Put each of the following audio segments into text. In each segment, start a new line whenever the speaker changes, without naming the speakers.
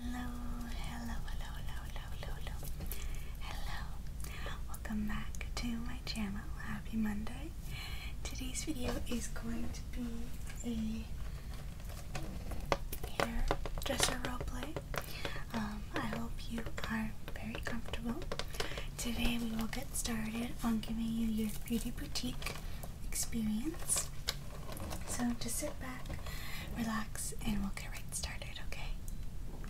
Hello, hello, hello, hello, hello, hello, hello. Welcome back to my channel. Happy Monday. Today's video is going to be a hairdresser role play. Um, I hope you are very comfortable. Today we will get started on giving you your beauty boutique experience. So just sit back, relax, and we'll get right started, okay?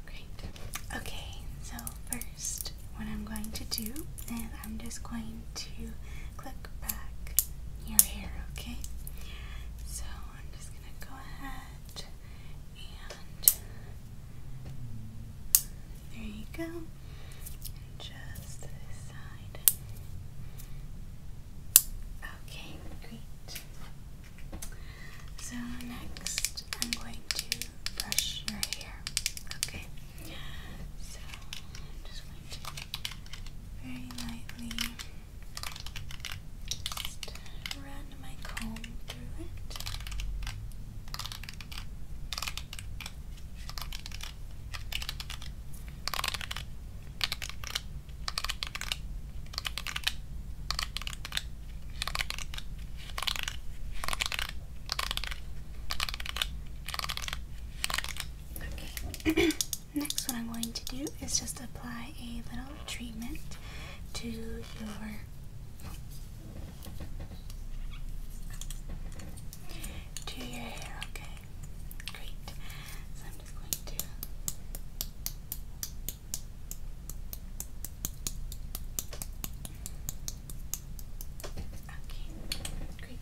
Great. Okay, so first, what I'm going to do is I'm just going to click back your hair, okay? So I'm just gonna go ahead and there you go. just this side. Okay, great. So next, I'm going to brush your hair. Okay, so I'm just going to very lightly just run my comb through it. Next, what I'm going to do is just apply a little treatment to your to your hair. Okay great. So I'm just going to Okay, great.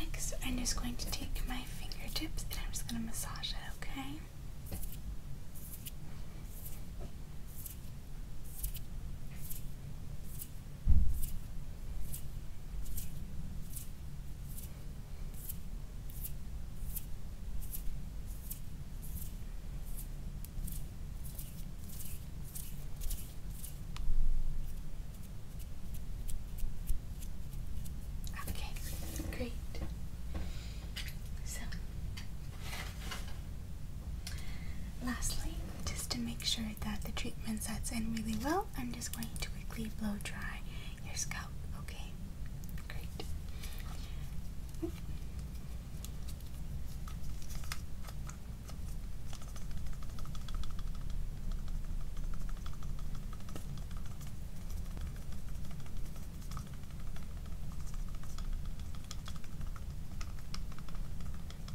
Next, I'm just going to take my fingertips and I'm just going to massage it, okay? Okay, great. So Lastly, just to make sure that the treatment sets in really well, I'm just going to quickly blow dry your scalp, okay? Great.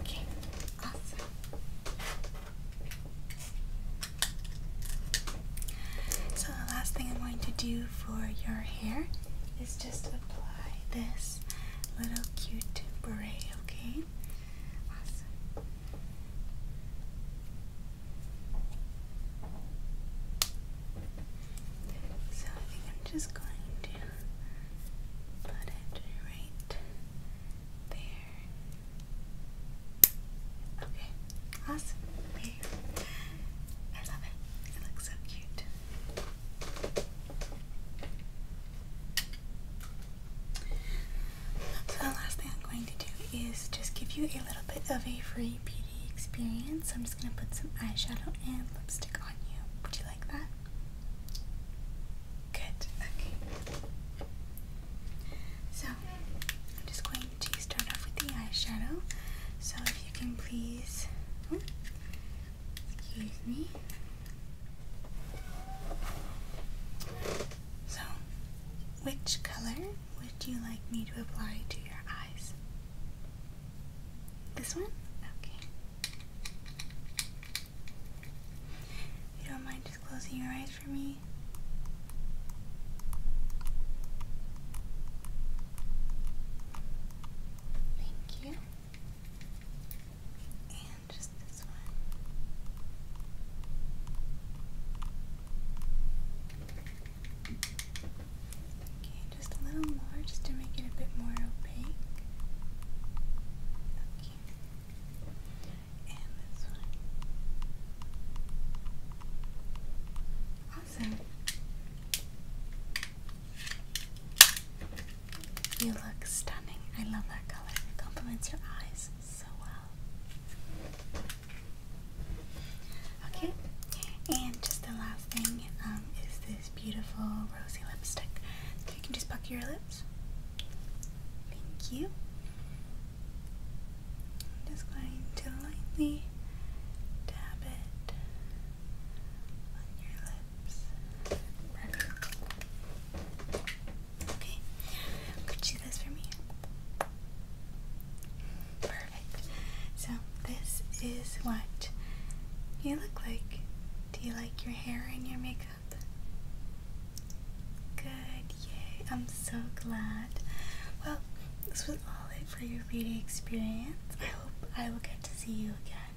Okay, awesome. So, the last thing I'm going to do for your hair is just apply this little cute beret, okay? Awesome. So, I am just going to Put it right there. Okay, awesome. I love it. It looks so cute. So the last thing I'm going to do is just give you a little bit of a free beauty experience. So I'm just going to put some eyeshadow and lipstick on you. Would you like that? Good, okay. So, I'm just going to start off with the eyeshadow. So, if you can please. Oh, excuse me. So, which color would you like me to apply to your eyes? This one? Okay. If you don't mind just closing your eyes for me. Thank you. And just this one just a little more, just to make it a bit more opaque. Okay. And this one. Awesome. You look stunning. I love that color. It complements your eyes so well. Okay, and just the last thing um, is this beautiful rosy lipstick. So you can just pucker your lips. Thank you. I'm just going to lightly dab it on your lips. Okay, could you do this for me? Perfect. So this is what you look like. Do you like your hair and your makeup? Good, yay. I'm so glad. Well, this was all it for your reading experience. I hope I will get to see you again.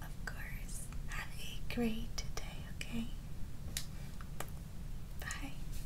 Of course. Have a great day, okay? Bye.